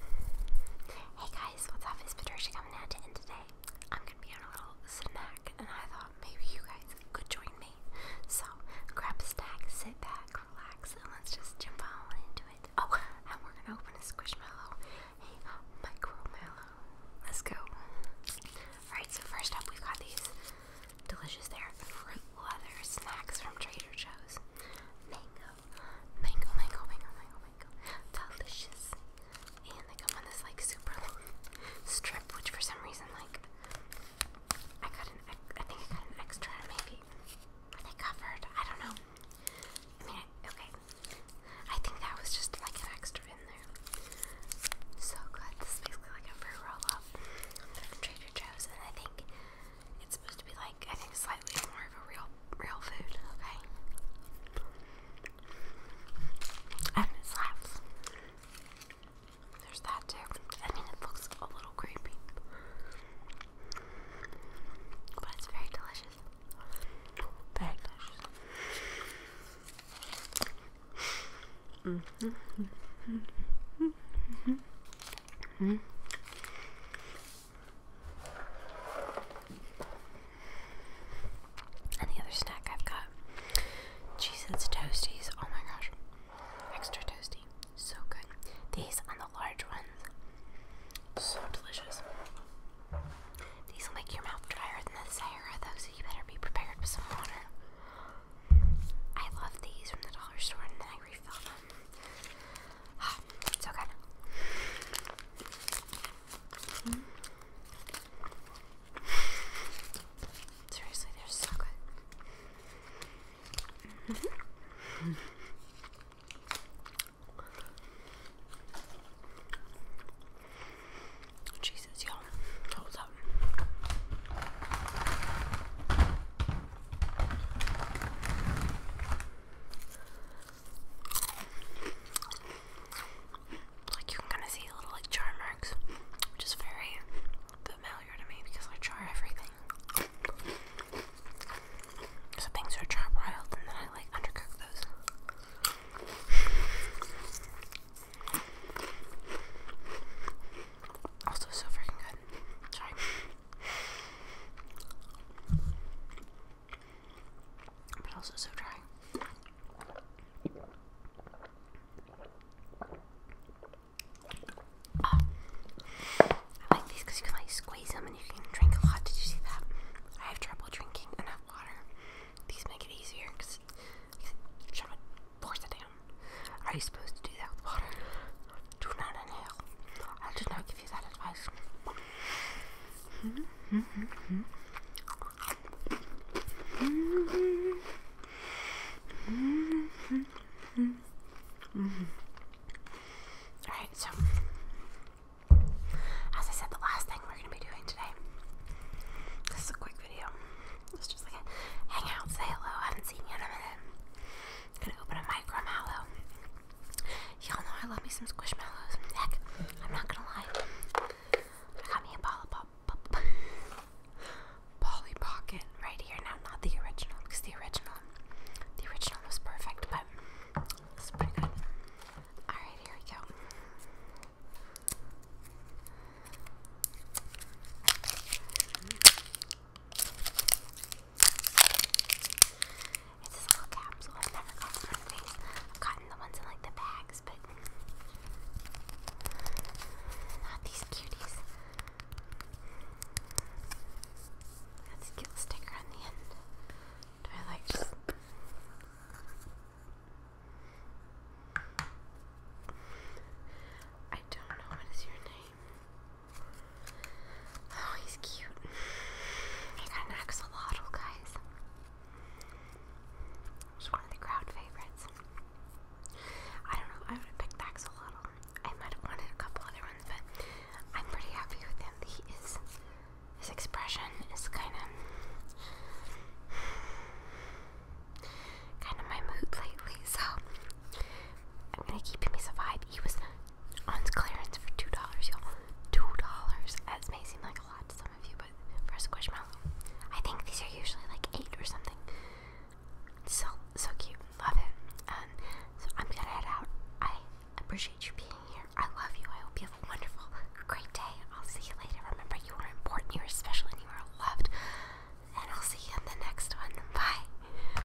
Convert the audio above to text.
Hey guys, what's up? It's Patricia coming at to end today I'm gonna be on a little snack, and I thought maybe you guys could join me. So grab a snack, sit back, relax, and let's just jump on into it. Oh, and we're gonna open a squishmallow, a micromallow. Let's go. Alright, so first up, we've got these delicious there fruit leather snacks from Trader Joe's. Mango, mango, mango, mango, mango, delicious. And they come on this like super long strip, which for some reason like I got an I think I got an extra maybe. they covered? I don't know. I mean, okay. I think that was just like an extra in there. So good. This is basically like a fruit roll up from Trader Joe's, and I think it's supposed to be like I think slightly more of a real real food, okay? And it slaps. There's that too. I mean it looks a little creepy. But it's very delicious. Very delicious. -hmm. And the other snack I've got cheese toasties. Oh my gosh. Extra toasty. So good. These are the large ones. So delicious. These will make your mouth drier than the Sahara though, so you better be prepared with some water. I love these from the dollar store and then I refill them so good. Seriously, they're so good. Mm-hmm. Jesus, y'all, hold up. Like you can kind of see little like char marks, which is very familiar to me because I char everything. So things are char broiled and then I like undercook those. Also so freaking good. Sorry. But also so dry. Ah. I like these because you can like squeeze them and you can drink a lot. Did you see that? I have trouble drinking enough water. These make it easier because you trying to force it down. Are you supposed to do that with water? Do not inhale. I do not wie gesagt, Alright, so as I said, the last thing we're going to be doing today. This is a quick video. It's just like a hangout, say hello. haven't seen you in a minute. gonna open a micro Y'all know I love me some squishmallows. Heck, I'm not gonna lie. I got me a Polly Pop, Pop, Polly Pocket right here. Now, not the original, because the original, the original was perfect, but it's pretty good. All right, here we go. It's this little capsule. I've never gotten these. I've gotten the ones in like the bags, but not these cuties. That's a cute sticker on the end. Do I like I don't know what is your name. Oh, he's cute. He got an axolotl, guys. Just one of the crowd favorites. I don't know. I would have picked axolotl. I might have wanted a couple other ones, but I'm pretty happy with him. He is. His expression is kind of. Kind of my mood lately, so I'm gonna keep him as a vibe. He was on clearance for two dollars, y'all. Two dollars. That may seem like a lot to some of you, but for a squishmallow, I think these are usually like eight or something. So so cute, love it. so I'm gonna head out. I appreciate you being here. I love you. I hope you have a wonderful, great day. I'll see you later. Remember, you are important. You are special, and you are loved. And I'll see you in the next one. Bye.